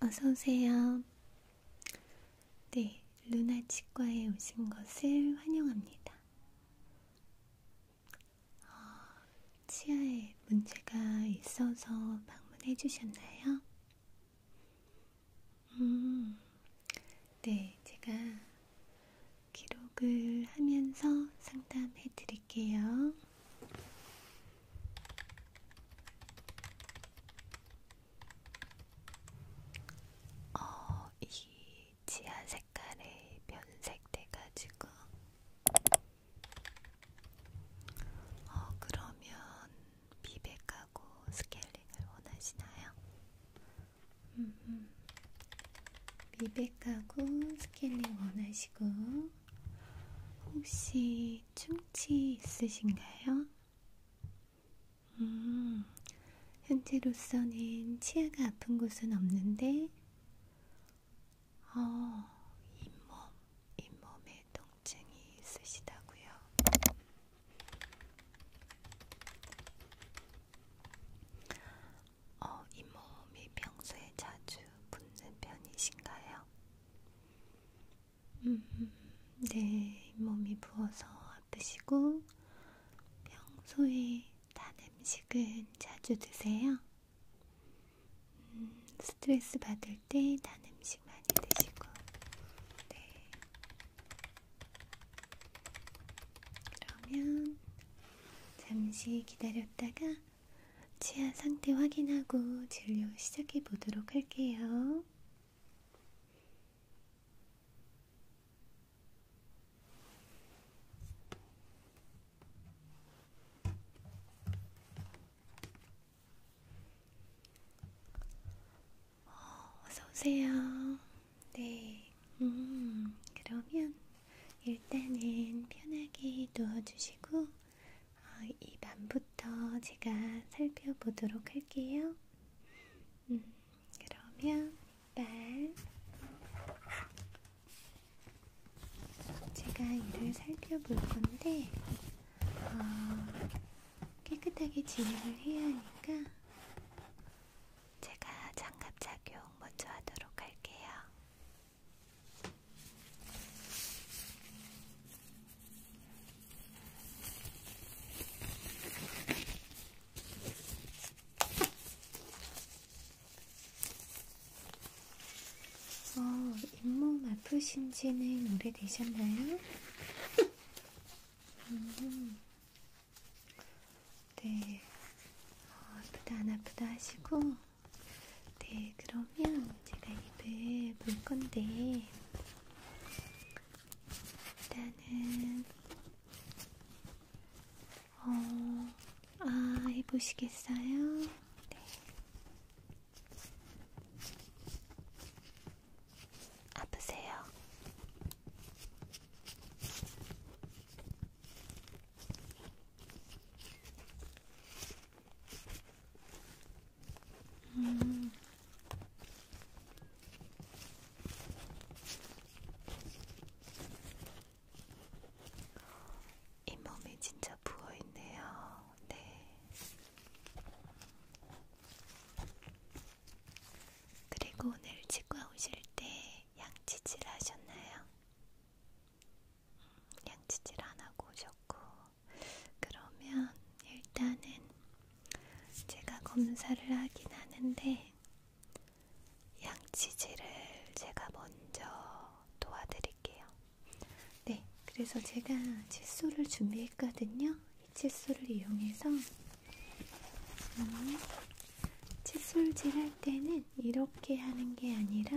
어서오세요. 네, 루나 치과에 오신 것을 환영합니다. 어, 치아에 문제가 있어서 방문해 주셨나요? 음, 네, 제가 기록을 하면서 상담해 드릴게요. 어, 이 지하 색깔에 변색돼가지고, 어, 그러면 비백하고 스케일링을 원하시나요? 음, 미백하고 스케일링 원하시나요? 마시고 혹시 충치 있으신가요? 음, 현재로서는 치아가 아픈 곳은 없는데 어, 잇몸, 잇몸에 통증이 있으시다고요. 어, 이 몸이 평소에 자주 붓는 편이신가요? 음, 네, 몸이 부어서 아프시고 평소에 단 음식은 자주 드세요? 음, 스트레스 받을 때 단 음식 많이 드시고 네. 그러면 잠시 기다렸다가 치아 상태 확인하고 진료 시작해 보도록 할게요. 어, 어서 오세요. 네. 음, 그러면 일단은 편하게 누워주시고 어, 입 안부터 제가 살펴보도록 할게요. 음, 그러면 이빨 제가 이를 살펴볼 건데 어, 깨끗하게 진행을 해야 하니까 제가 장갑 착용 먼저 하도록 할게요. 어, 잇몸 아프신지는 오래되셨나요? 음, 네, 어, 아프다 안 아프다 하시고 네, 그러면 제가 입을 볼 건데, 일단은, 어, 아, 해보시겠어요? 네. 아프세요? 음. 이 몸이 진짜 부어 있네요. 네. 그리고 오늘 치과 오실 때 양치질 하셨나요? 양치질 안 하고 오셨고, 그러면 일단은 제가 검사를 하긴 하는데, 양치질을 제가 먼저 도와드릴게요. 네, 그래서 제가 칫솔을 준비했거든요. 이 칫솔을 이용해서 음, 칫솔질을 할 때는 이렇게 하는 게 아니라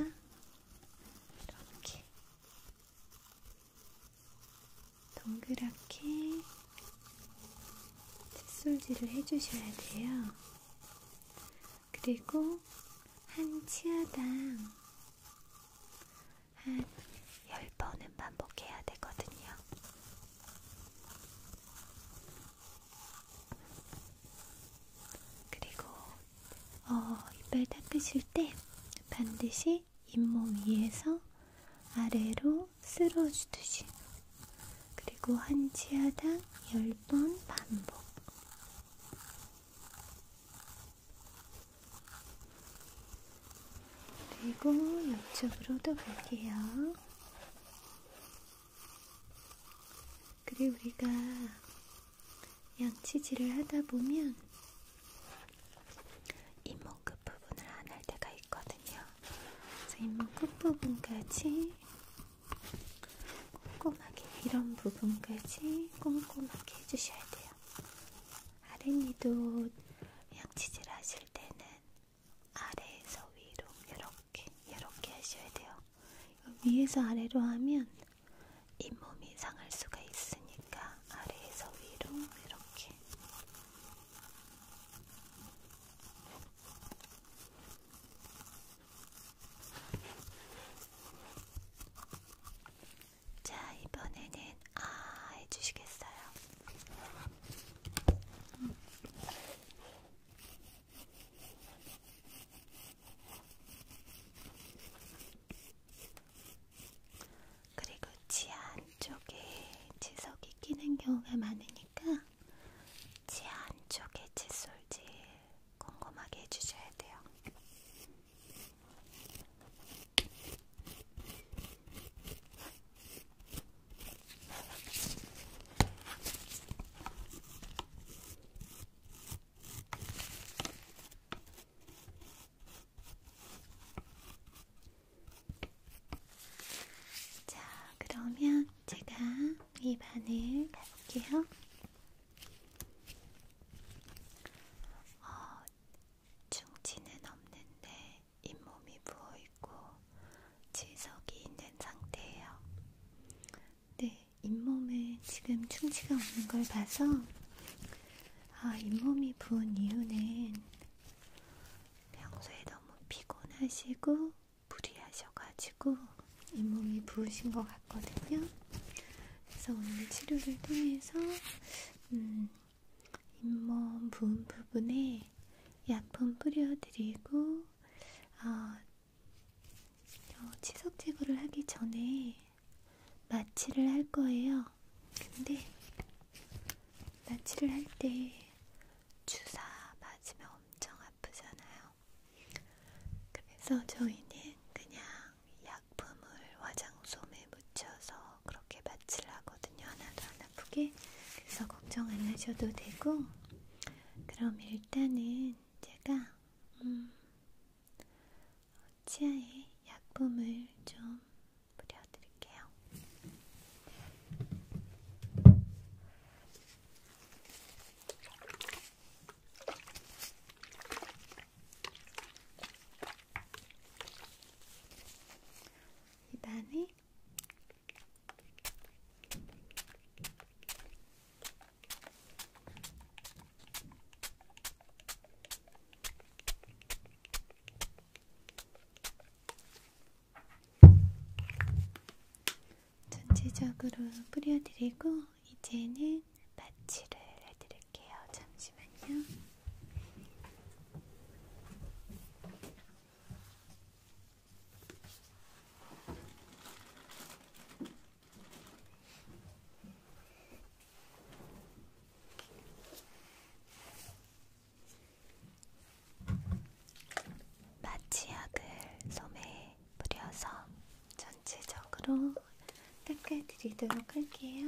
이렇게 동그랗게 칫솔질을 해주셔야 돼요. 그리고 한 치아당 한 10번은 반복해야 되거든요. 그리고 어, 이빨 닦으실 때 반드시 잇몸 위에서 아래로 쓸어주듯이 그리고 한 치아당 10번 반복 그리고 옆쪽으로도 볼게요. 그리고 우리가 양치질을 하다 보면 잇몸 끝부분을 안 할 때가 있거든요. 그래서 잇몸 끝부분까지 꼼꼼하게 이런 부분까지 꼼꼼하게 해주셔야 돼요. 아랫니도 양치질 하실 때는 아래에서 위로 이렇게 이렇게 이렇게 하셔야 돼요. 위에서 아래로 하면 잇몸이 상할 수가 있으니까 아래에서 위로 이렇게 자 이번에는 아 해주시겠어요? 음. 그리고 치아 안쪽에 지석이 끼는 경우가 많으니까 치아 안쪽에 칫솔질 꼼꼼하게 해주셔야 돼요. 자, 그러면 제가 위반을 가볼게요. 어, 충치는 없는데 잇몸이 부어있고 지석이 있는 상태예요. 네, 잇몸에 지금 충치가 없는 걸 봐서 아, 잇몸이 부은 이유는 평소에 너무 피곤하시고 무리하셔가지고 잇몸이 부으신 것 같거든요. 그래서 오늘 치료를 통해서 음, 잇몸 부은 부분에 약품 뿌려드리고 어, 어, 치석 제거를 하기 전에 마취를 할 거예요. 근데 마취를 할 때 주사 맞으면 엄청 아프잖아요. 그래서 저희는 그냥 약품을 화장솜에 묻혀서 그렇게 마취를 하거든요. 하나도 안 아프게. 그래서 걱정 안 하셔도 되고, 그럼 일단은 제가 음, 치아에 약품을 좀 뿌려드릴게요. 입안에 전체적으로 뿌려드리고 이제는 마취를 해드릴게요. 잠시만요. 마취약을 몸에 뿌려서 전체적으로 닦아드리도록 할게요.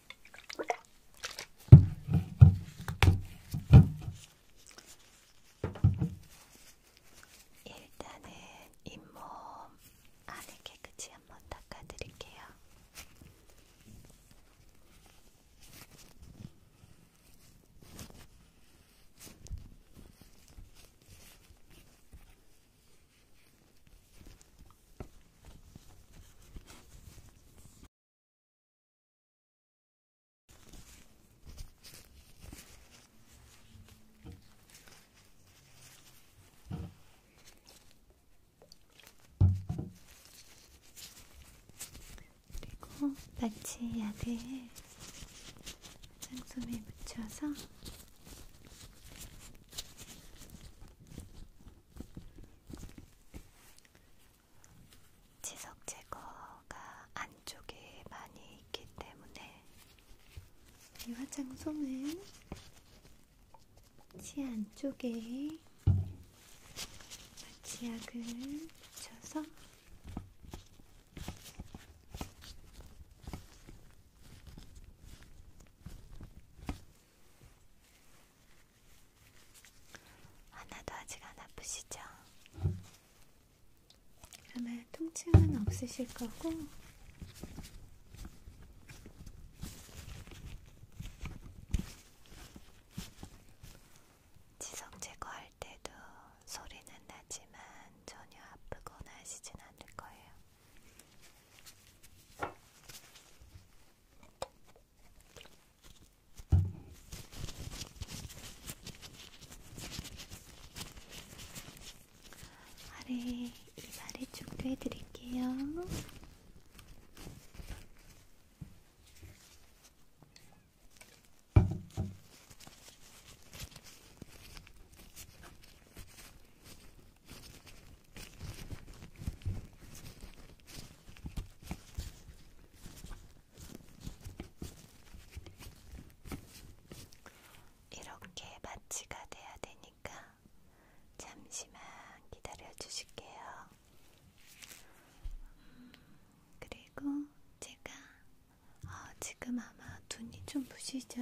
일단은 잇몸 안에 깨끗이 한번 닦아드릴게요. 그리고 마취약을 장솜에 묻혀서 지석 제거가 안쪽에 많이 있기 때문에 이 화장솜은 치 안쪽에 마취약을 묻혀서 하나도 아, 아직 안 아프시죠? 그러면 통증은 없으실 거고 지성 제거할 때도 소리는 나지만 전혀 아프거나 하시진 않을 거예요. 아래 입 아래쪽도 해드릴게요. 이렇게 마취가 돼야 되니까 잠시만 기다려 주실게요. 음, 그리고 제가 어, 지금 아마 눈이 좀 부시죠.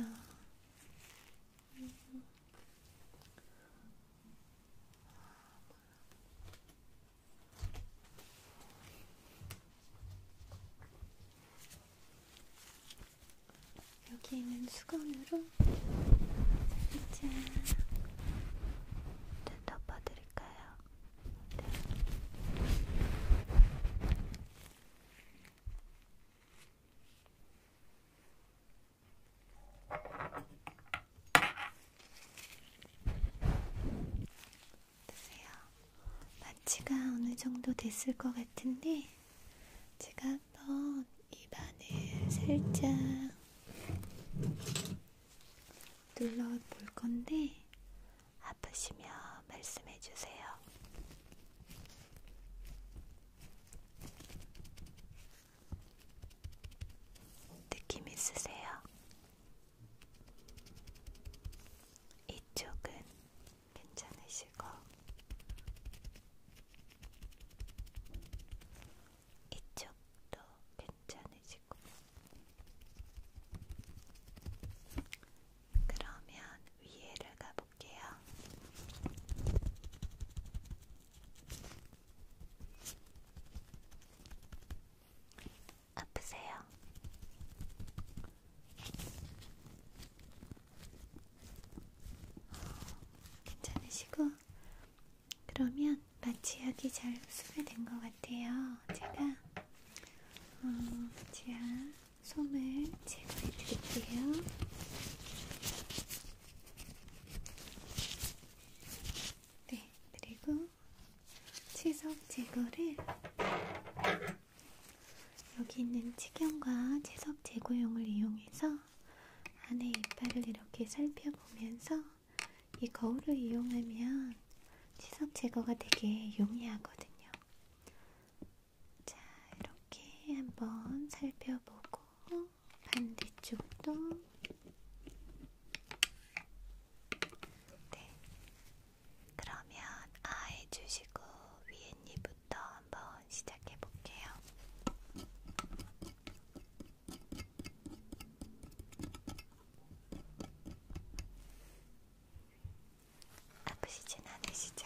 여기 있는 수건으로 살짝 덮어드릴까요? 네. 드세요. 마취가 어느 정도 됐을 것 같은데 제가 한번 입안을 살짝 눌러 볼 건데 아프시면 말씀해 주세요. 느낌 있으세요? 이쪽은 괜찮으시고, 이쪽도 괜찮으시고, 그러면 위에를 가볼게요. 아프세요? 괜찮으시고 그러면 마취약이 잘 흡수가 된것 같아요. 제가 어, 제가 솜을 제거해 드릴게요. 네, 그리고 치석제거를 여기 있는 치경과 치석제거용을 이용해서 안에 이빨을 이렇게 살펴보면서 이 거울을 이용하면 치석 제거가 되게 용이하거든요. 자, 이렇게 한번 살펴보고 반대쪽도 네. 그러면 아예 주시고 위에 니부터 한번 시작해 볼게요. 아프시진 않으시죠?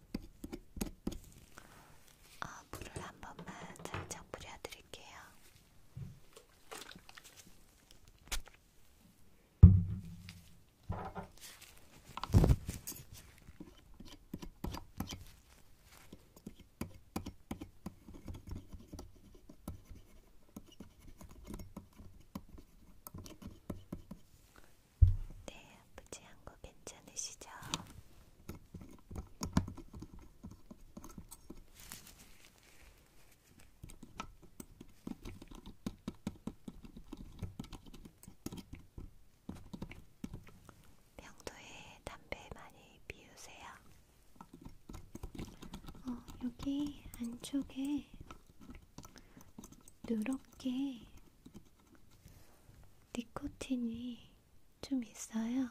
아, 물을 한 번만 살짝 뿌려드릴게요. 네, 아프지 않고 괜찮으시죠? 평소에 담배 많이 피우세요. 어, 여기 안쪽에 누렇게 니코틴이 좀 있어요.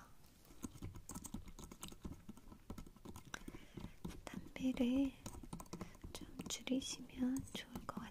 담배를 좀 줄이시면 좋을 것 같아요.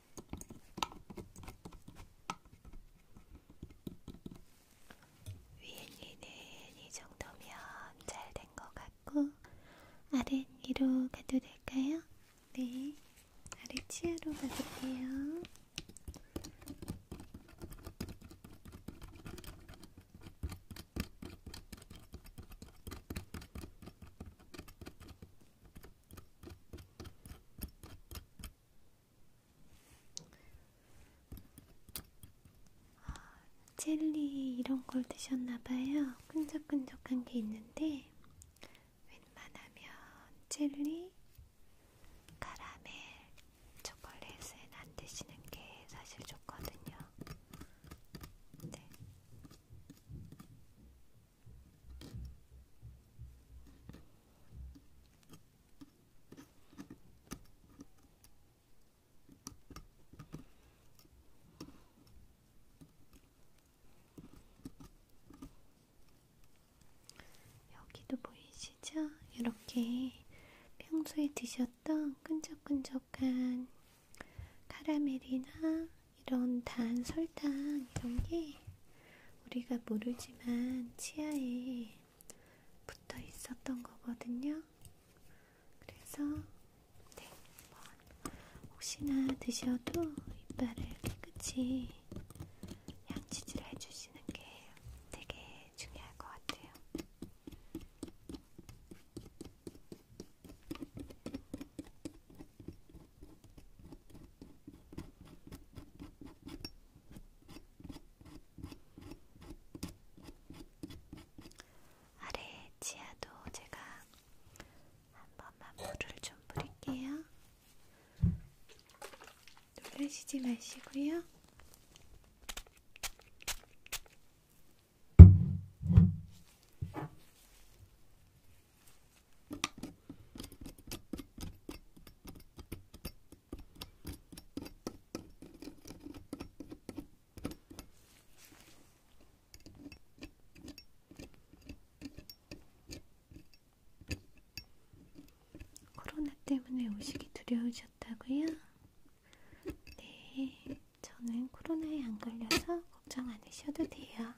위엔이는 이 정도면 잘 된 것 같고 아랫니로 가도 될까요? 네, 아래치아로 가볼게요. 아, 젤리 이런 걸 드셨나봐요. 끈적끈적한 게 있는데 웬만하면 젤리, 카라멜, 초콜릿은 안 드시는 게 사실 좋거든요. 네. 여기도 보이시죠? 이렇게 평소에 드셨던 끈적끈적한 카라멜이나 이런 단 설탕 이런 게 우리가 모르지만 치아에 붙어 있었던 거거든요. 그래서 네, 혹시나 드셔도 이빨을 깨끗이 양치질을 해주시는 게 되게 중요할 것 같아요. 아래 치아도 제가 한 번만 물을 좀 뿌릴게요. 놀라시지 마시고요. 코로나 때문에 오시기 두려우셨다고요? 네, 저는 코로나에 안 걸려서 걱정 안 하셔도 돼요. 있습니다.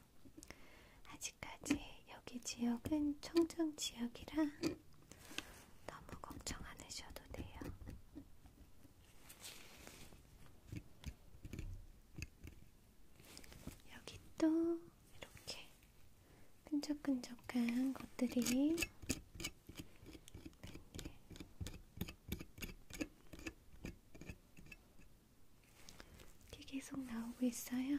아직까지 여기 지역은 청정 지역이라 너무 걱정 안 하셔도 돼요. 여기 또 이렇게 끈적끈적한 것들이 이게 계속 나오고 있어요.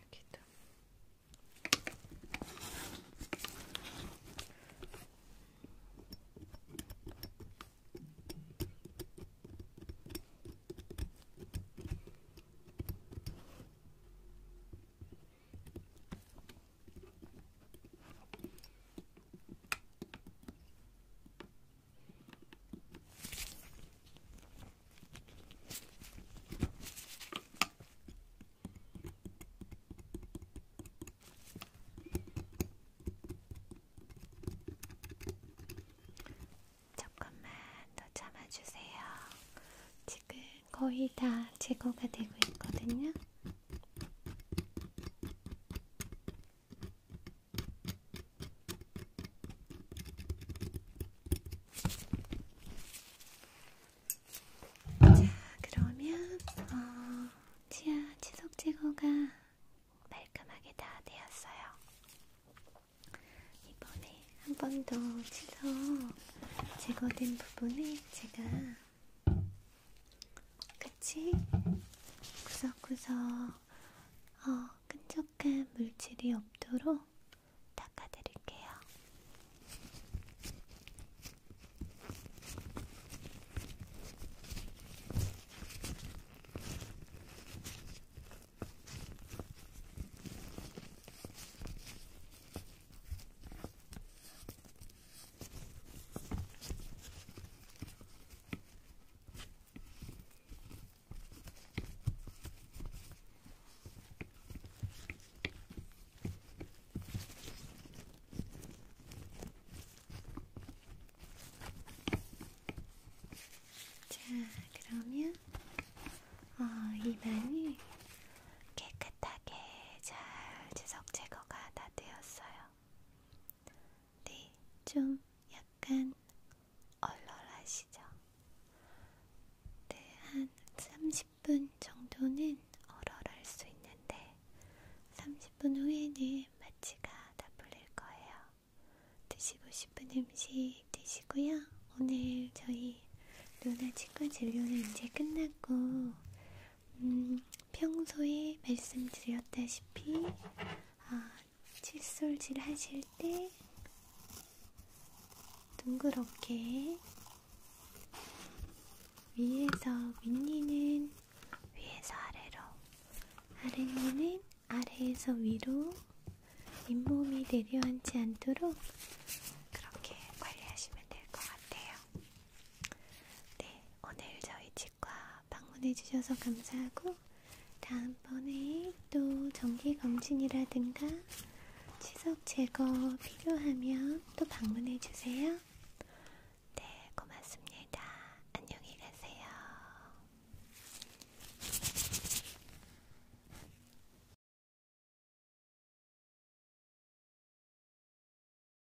여기도. 조금만 더 참아주세요. 지금 거의 다 제거가 되고 있거든요. 자, 그러면 어, 치아 지속 제거가 말끔하게 다 되었어요. 이번에 한 번 더 치석 제거된 부분에 제가 그치? 구석구석 어, 끈적한 물질이 없도록 닦아드릴게요. 자, 그러면 어, 이마이 깨끗하게 잘 지석 제거가 다 되었어요. 네, 좀 약간 얼얼하시죠? 네, 한 30분 정도는 얼얼할 수 있는데 30분 후에는 마취가 다 풀릴 거예요. 드시고 싶은 음식 드시고요. 오늘 저희 누나 치과 진료는 이제 끝났고 음, 평소에 말씀드렸다시피 아, 칫솔질 하실 때 둥그렇게 위에서 윗니는 위에서 아래로 아랫니는 아래에서 위로 잇몸이 내려앉지 않도록 그렇게 관리하시면 될 것 같아요. 네, 오늘 저희 집 정기과 방문해주셔서 감사하고 다음번에 또 정기검진이라든가 치석 제거 필요하면 또 방문해주세요. 네, 고맙습니다. 안녕히 가세요.